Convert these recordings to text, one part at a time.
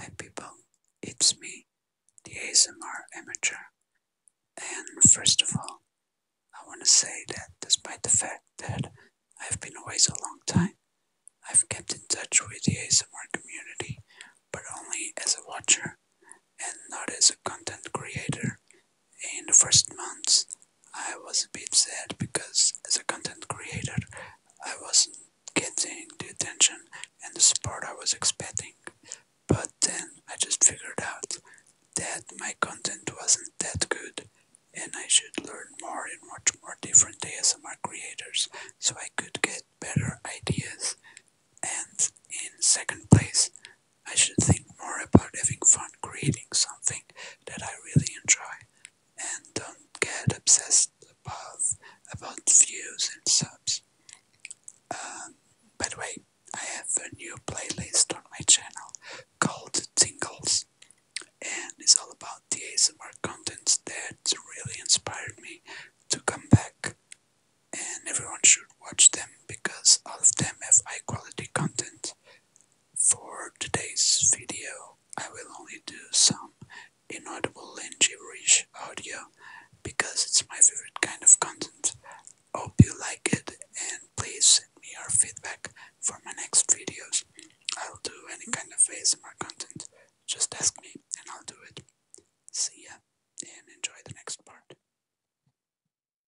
Hi people, it's me, the ASMR amateur, and first of all, I want to say that despite the fact that I've been away for a long time, I've kept in touch with the ASMR community, but only as a watcher and not as a content creator. In the first months, I was a bit sad because as a content creator, I wasn't getting the attention and the support I was expecting. But then I just figured out that my content wasn't that good and I should learn more and watch more different ASMR creators so I could get better ideas. And in second place, I should think more about having fun creating something that I really enjoy and don't get obsessed about about views and subs. Um, by the way, I have a new playlist on my channel called Tingles and it's all about the ASMR contents that really inspired me to come back and everyone should watch them because all of them have high quality content. For today's video, I will only do some inaudible and gibberish audio because it's my favorite kind of content. Hope you like it and please send me your feedback for my next videos. I'll do any kind of ASMR content. Just ask me and I'll do it. See ya and enjoy the next part.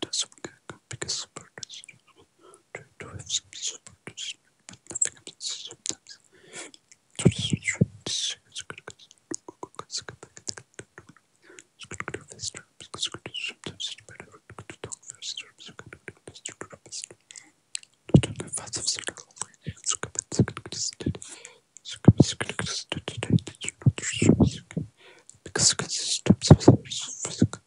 That's biggest supporters. Try to have some supporters, but nothing happens sometimes. Sometimes it's better to talk first. Because